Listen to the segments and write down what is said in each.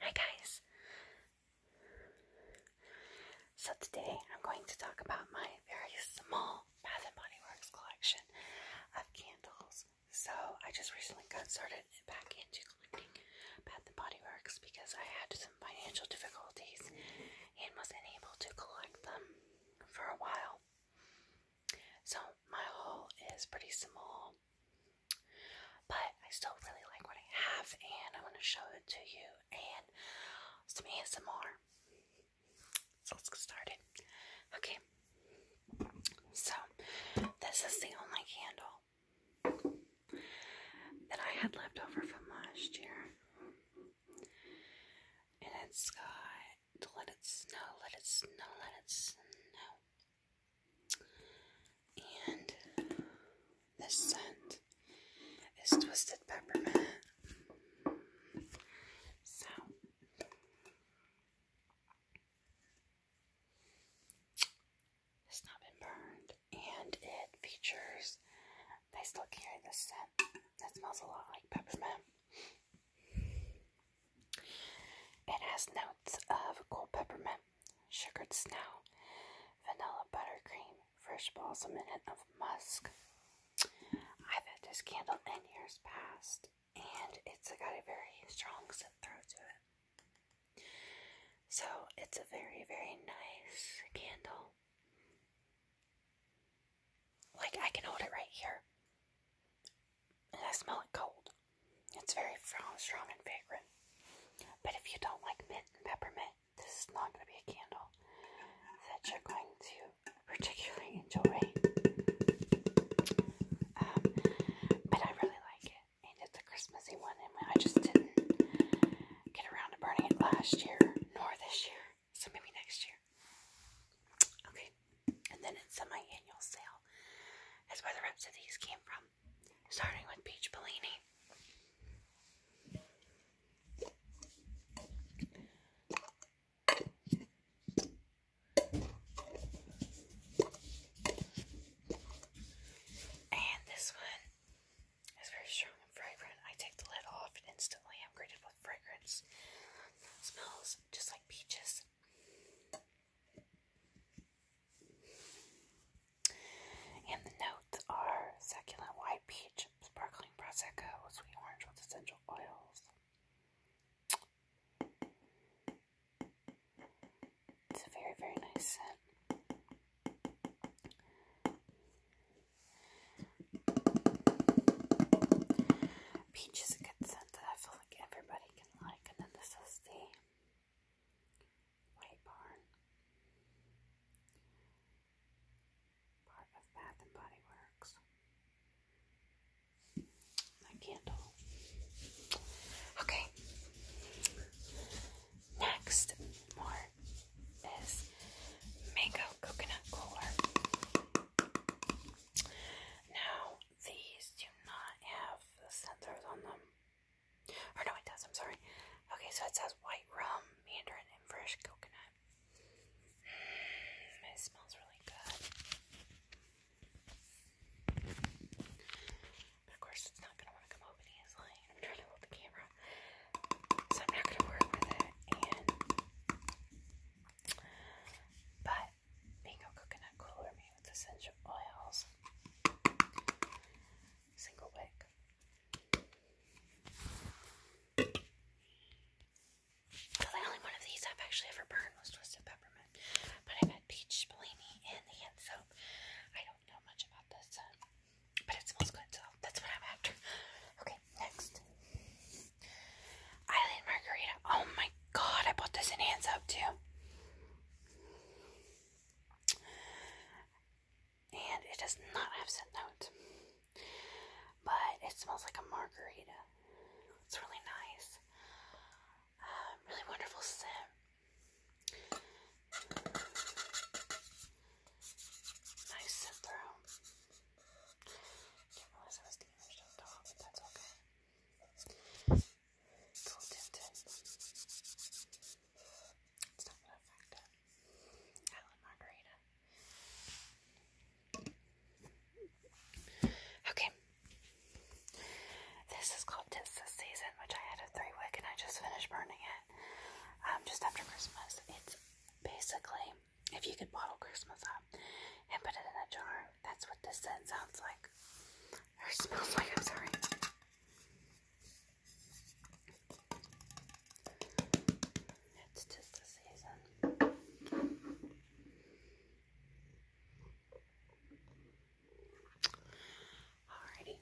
Hi guys! So today I'm going to talk about my very small Bath and Body Works collection of candles. So I just recently got started back into collecting Bath and Body Works because I had some financial difficulties and was unable to collect them for a while. So my haul is pretty small. But I still really like what I have, and i want to show it to you and some ASMR. So let's get started. Okay, so this is the only candle that I had left over from last year, and it's got let it snow, let it snow, let it snow. And this scent is twisted peppermint. So it's not been burned, and it features. They still carry this scent. that smells a lot like peppermint. It has notes of cold peppermint, sugared snow, vanilla buttercream, fresh balls a minute of musk. I've had this candle in years past, and it's got a very strong scent throw to it. So it's a very, very nice candle. Like I can hold it right here. And I smell it cold. It's very strong and fragrant. But if you don't like mint and peppermint, this is not going to be a candle that you're going to particularly enjoy. Um, but I really like it. And it's a Christmassy one, and I just didn't get around to burning it last year, nor this year. So maybe next year. Okay. And then it's semi annual sale. That's where the rest of these came from starting with Peach Bellini. And this one is very strong and fragrant. I take the lid off instantly i with fragrance. smells just like peaches. And the notes are succulent white peach, sparkling prosecco, sweet orange with essential oils. It's a very, very nice scent. Peach is a good scent that I feel like everybody can like. And then this is the Waybarn. Part of Bath and Body Works. My candle. Okay. Next, more is mango coconut cooler. Now, these do not have the on them. Or no, it does. I'm sorry. Okay, so it says white rum, mandarin, and fresh coconut. it smells really good. But of course, it's not going to want to come open easily. I'm trying to hold the camera. So I'm not going to work with it. but mango coconut cooler me with essential oils. Single wick. the only one of these I've actually ever burned was Twisted Peppermint. But i had peach Bellini in the hand soap. I don't know much about this, uh, but it smells good, so that's what I'm after. Okay, next. Island Margarita. Oh my god, I bought this in hand soap too. And it does not have scent notes. But it smells like a margarita. It's really nice. Um, really wonderful scent. Nice scent through. Cool Tintin. It's not gonna affect it. Island Margarita. Okay. This is called Tis the Season, which I had a three wick and I just finished burning it um, just after Christmas. It's basically, if you could bottle Christmas up and put it in a jar, that's what this scent sounds like. Or smells like, I'm sorry. It's just the season. Alrighty.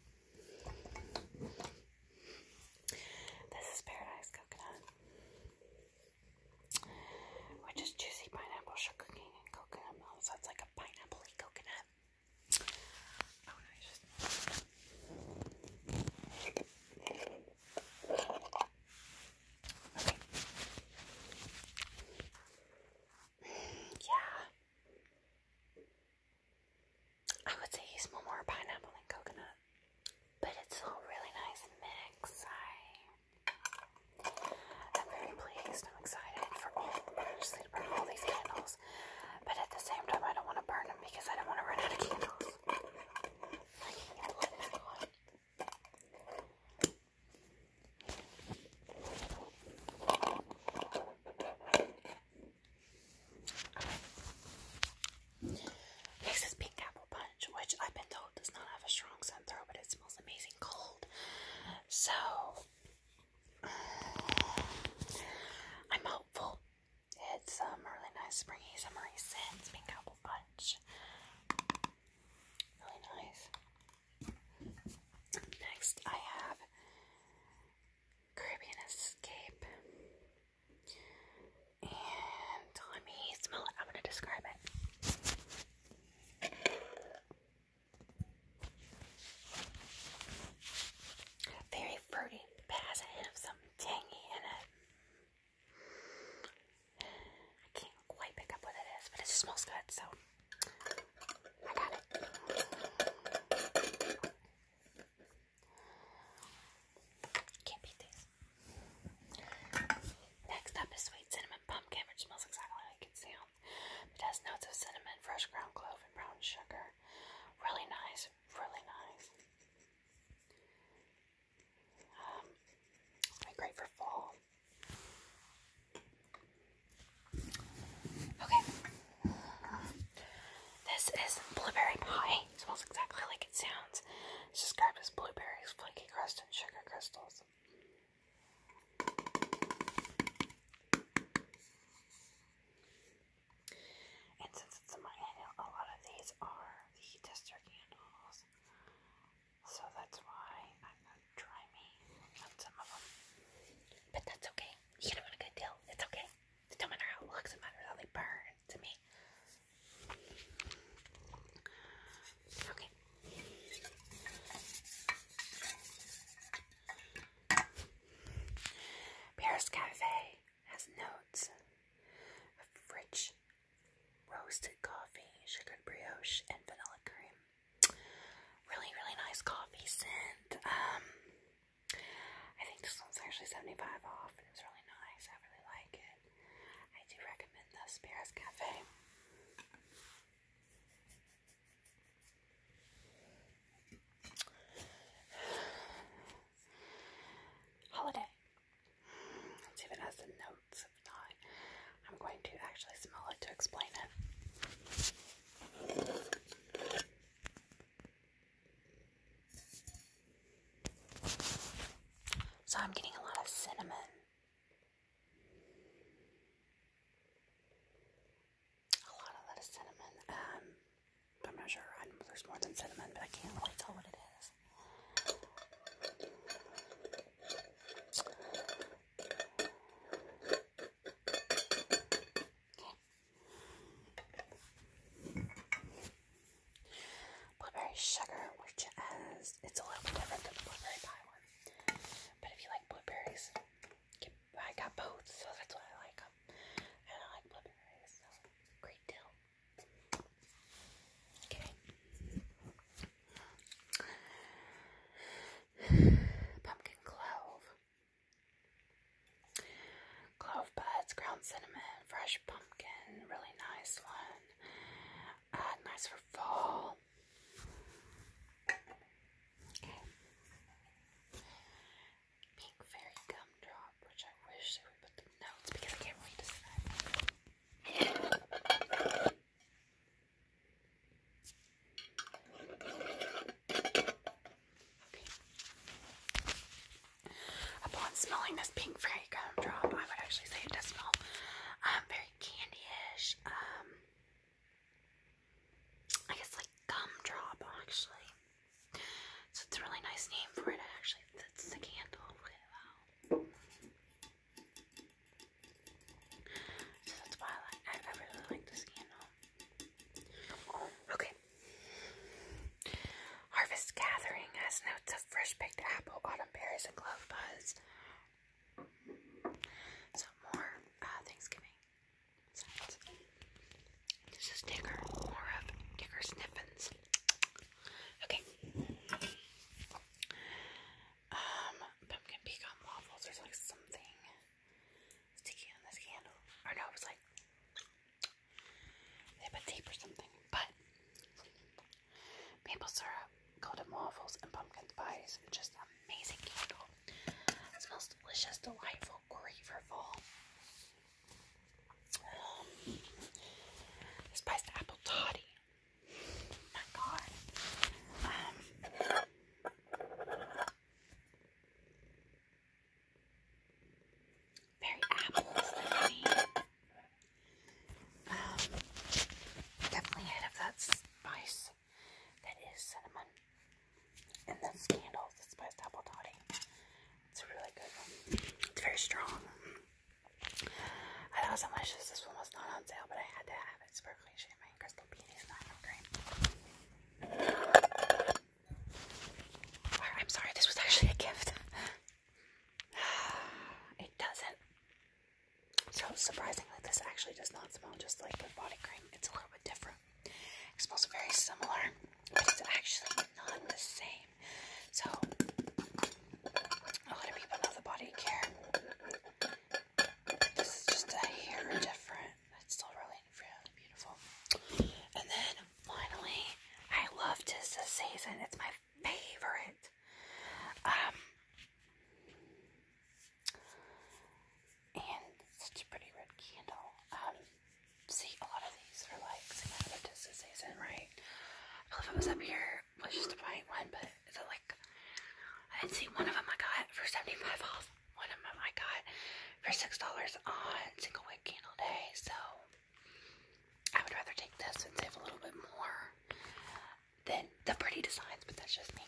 This is Paradise Coconut. Which is juicy pineapple sugar cane and coconut milk. So it's like a pineapple coconut. Yeah. I would say you more pineapple than coconut, but it's a really nice mix. I I'm very pleased. I'm excited for all. I'm actually to burn all these candles, but at the same time, I don't want to burn them because I don't want to run out of candles. I is pink apple punch, which I've been does not have a strong scent throw, but it smells amazing cold. So I'm hopeful. It's um, a really nice springy summery scents, pink apple punch. Really nice. Next, I have Caribbean Escape. And let me smell it. I'm going to describe it. Very fruity, has a hint of something tangy in it. I can't quite pick up what it is, but it smells good, so I got it. Can't beat this. Next up is sweet cinnamon pumpkin, which smells exactly like it sounds. It has notes of cinnamon, fresh ground clove, and brown sugar. Really nice, really nice. Um, great for fall. Okay. This is blueberry pie. smells exactly like it sounds. It's described as blueberries, flaky crust, and sugar crystals. And since it's a manual, a lot of these are the tester candles. So that's why I'm going to try me on some of them. But that's okay. You get them on a good deal. It's okay. It don't matter how it looks, it matters how they burn to me. Okay. Paris Cafe has notes of rich roasted coffee, sugared brioche, and vanilla cream. Really, really nice coffee scent. Um, I think this one's actually 75 off, and it's really nice. I really like it. I do recommend the Paris Cafe. Holiday. see if it has the notes. If not, I'm going to actually smell it to explain it. So I'm getting a lot of cinnamon. A lot, a lot cinnamon. Um, I'm not sure. there's more than cinnamon, but I can't really tell what it is. Okay. Blueberry sugar, which is it's a little bit different than the blueberry pie one. But if you like blueberries, I got both, so that's why I like them. And I like Blood so great deal. Okay. Pumpkin clove. Clove buds, ground cinnamon, fresh pumpkin, really nice one. Uh, nice for fall. Pink Fairy Gumdrop, which I wish they would put the notes because I can't really to Okay. Upon smelling this pink fairy gumdrop, I would actually say it does smell um, very candy Um, I guess like gumdrop actually. So it's a really nice name for it actually. That's the candle. Really well. So that's why I like I really like this candle. Okay. Harvest Gathering has notes of fresh picked apple, autumn berries, and clove buds. So more uh, Thanksgiving This is Digger, more of Digger Sniffins. Okay. Um, pumpkin pecan waffles. There's like something sticky on this candle. Or no, it was like they put tape or something. But maple syrup, golden waffles, and pumpkin pies just on um, amazing candle. smells delicious, delightful, great for fall. Um, spiced apple toddy. my God. Um, very apples. Um, definitely hit of that spice that is cinnamon. And then candles. the spiced apple toddy. It's a really good one. It's very strong. I thought it was delicious. This one was not on sale, but I had to have it. Sparkly champagne, crystal peonies, and apple cream. I'm sorry, this was actually a gift. It doesn't so surprisingly, this actually does not smell just like the body cream. It's a little bit different. It smells very similar, but it's actually not the same. So a lot of people know the body care. This is just a hair different. It's still really, beautiful. And then finally, I love this this season. It's my favorite. Um and such a pretty red candle. Um, see, a lot of these are like Sigmatis this season, right? I believe I was up here, was just to buy one, but it's like, I didn't see one of them I got for 75 off. One of them I got for $6 on single wick candle day, so I would rather take this and save a little bit more. Then the pretty designs, but that's just me.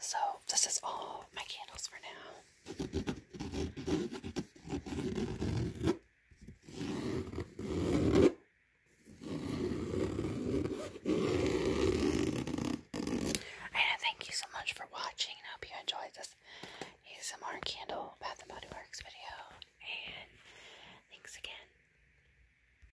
So, this is all my candles for now. And thank you so much for watching. I hope you enjoyed this ASMR candle Bath and Body video. And thanks again.